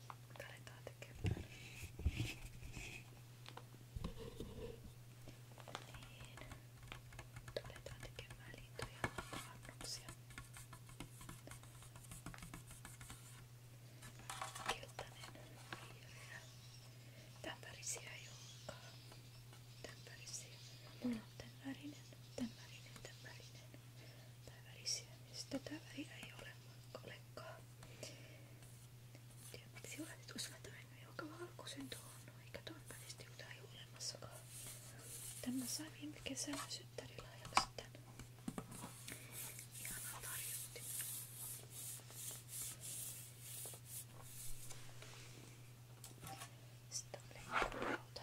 Mutta aletaan tekemään. Niin. Aletaan tekemään liitoja annoksia. Keltainen, vihreä. Tämän värisiä ei olekaan. Tämän värisiä. Mulla on tämän värinen, tämän värinen, tämän värinen. Tämän värisiä. Sitten tätä väriä ei ole olekaan. Tiedä miksi juuret usein on joka valkoisen tuon, no eikä tuon välistä juuta ei olemassakaan. Tämä sai viime kesänä syttärilahjaksi tän. Ihana tarjotti. Sitten on leikkurauta.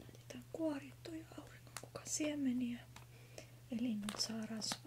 Laitetaan kuorittuja auringonkukan siemeniä. Eli nyt saa rasvaa.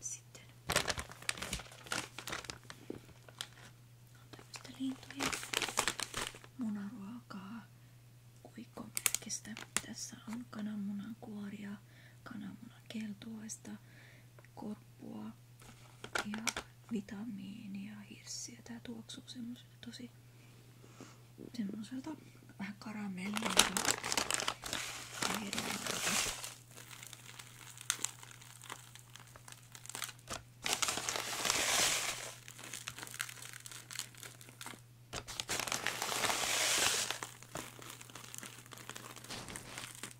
Sitten on tämmöistä lintujen munaruokaa kuikkomerkistä. Tässä on kananmunan kuoria, kananmunan keltuaista, korppua ja vitamiinia, hirssiä. Tää tuoksuu semmoiselta tosi semmoselta vähän karamellilta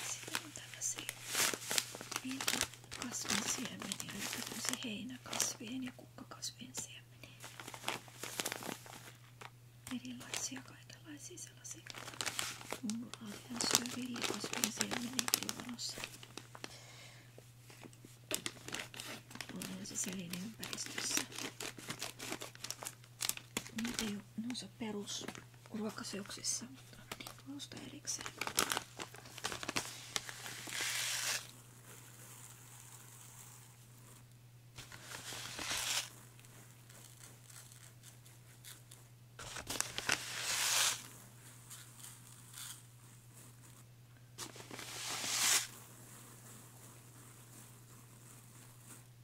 Se kuuntaa se, miltä kasvin siemeniä, eli tämmöisiä heinäkasvien ja kukkakasvien siemeniä. Erilaisia kaikenlaisia sellaisia. Mulla on syö villikasvien siemeniä kylvanossa. Mulla on se selin ympäristössä niitä ei ole, ne on se perus ruokaseoksissa, mutta niitä erikseen.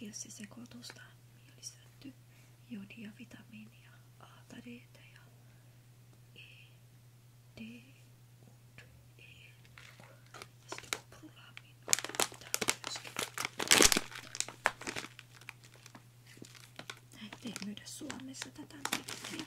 Hirssisekoitusta on lisätty jodia, vitamiinia, A-tadeita ja E, D, U, E, U. Ja sitten ei myydä Suomessa tätä merkkiä.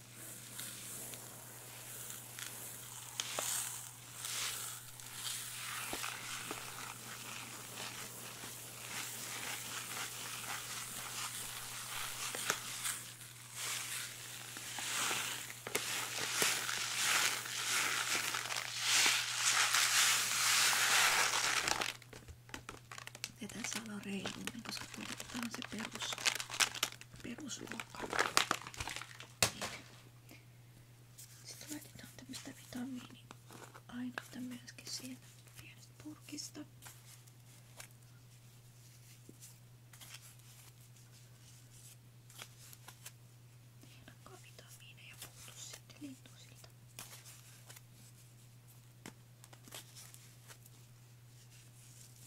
Tätä salon reiluuden, koska tämä on se perus perusluokka. Sitten laitetaan tämmöistä vitamiiniainetta myöskin siihen pienestä purkista. Hienokkaa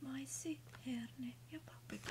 maissi, herne ja paprika.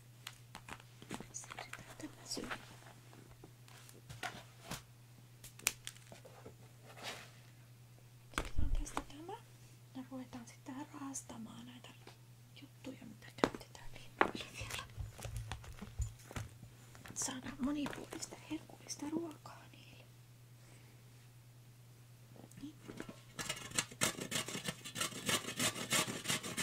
Secretária Otetaan tämä ja ruvetaan sitten tähän rahastamaan näitä juttuja, mitä käytetään linnuille vielä. Saadaan monipuolista herkullista ruokaa niille. Niin.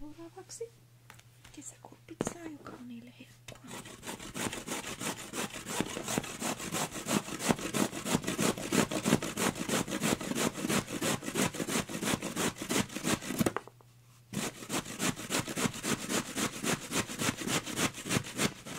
Seuraavaksi kesäkuun pizzaa, joka on niille helppoa.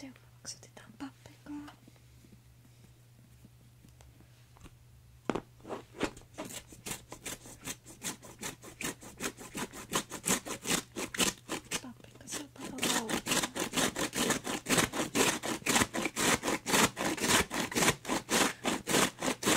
Seuraavaksi otetaan paprikaa. Paprika saattaa olla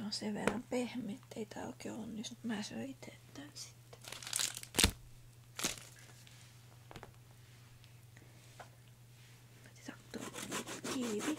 No se verran pehmeä, ettei tää oikein onnistu. Mä syön itse tän sitten. Otetaan kiivi.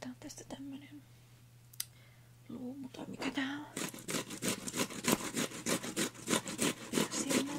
Tää on tästä tämmönen luumu tai mikä tää on. Silloin.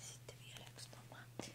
Sitten vielä yksi tomaatti.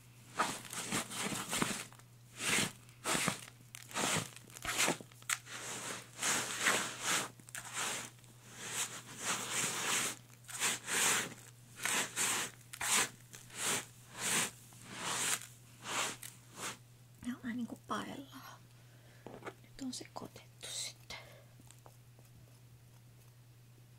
Ne on vähän niinku paellaa. Nyt on se kotettu sitten.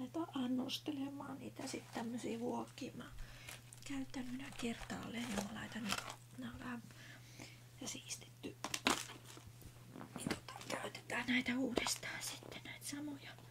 aletaan annostelemaan niitä sitten tämmöisiä vuokia. Mä käytän minä kertaalleen ja niin mä laitan nämä vähän ja siistetty. Niin tota, käytetään näitä uudestaan sitten näitä samoja. Täällä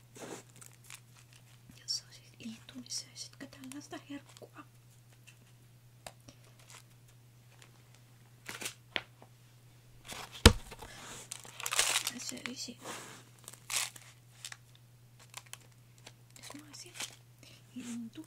jossa on siis liittymisestä tällaista herkkua. Mä söisin. Jos mä olisin lintu.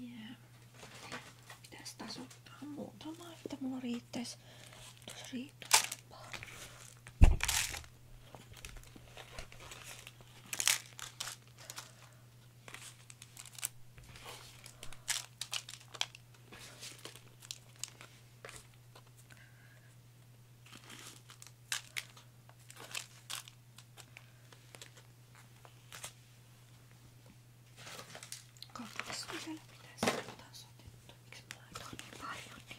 Yeah. Pitäis taas ottaa muutama, että mulla riittäis tuossa riittolampaa. Katsotaan vielä mitä sieltä on sotettu. Miksi mä laitoin niin paljon niin?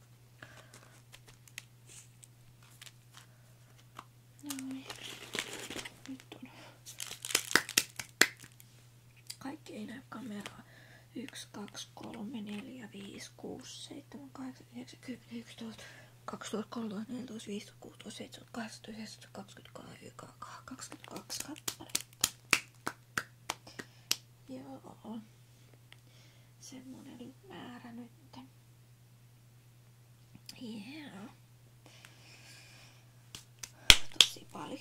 No niin. Kaikki ei näy kameraa. 1, 2, 3, 4, 5, 6, 7, 8, 9, 10, 11, 12, 13, 14, 15, 16, 17, 18, 19, 20, 22 kappaletta. Joo. Semmonen määrä nyt. Yeah. Tosi paljon.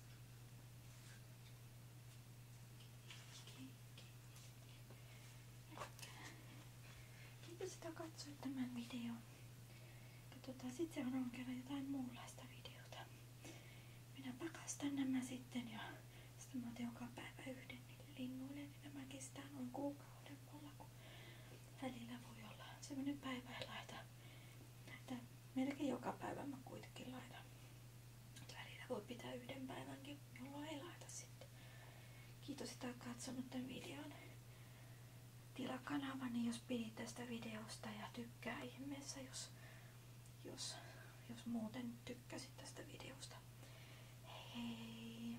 Kiitos, että katsoit tämän videon. Katsotaan sitten seuraavan kerran jotain muunlaista videota. Minä pakastan nämä sitten ja sitten mä otan joka päivä yhden niille linnuille. Niin nämä kestää noin kuukauden mulla, kun välillä voi olla sellainen päivä ja laita näitä melkein joka päivä mä kuitenkin laitan. Välillä voi pitää yhden päivänkin, jolloin ei laita sitten. Kiitos, että olet katsonut tämän videon. Tilaa kanavani, niin jos pidit tästä videosta ja tykkää ihmeessä, jos, jos, jos muuten tykkäsit tästä videosta. Hei!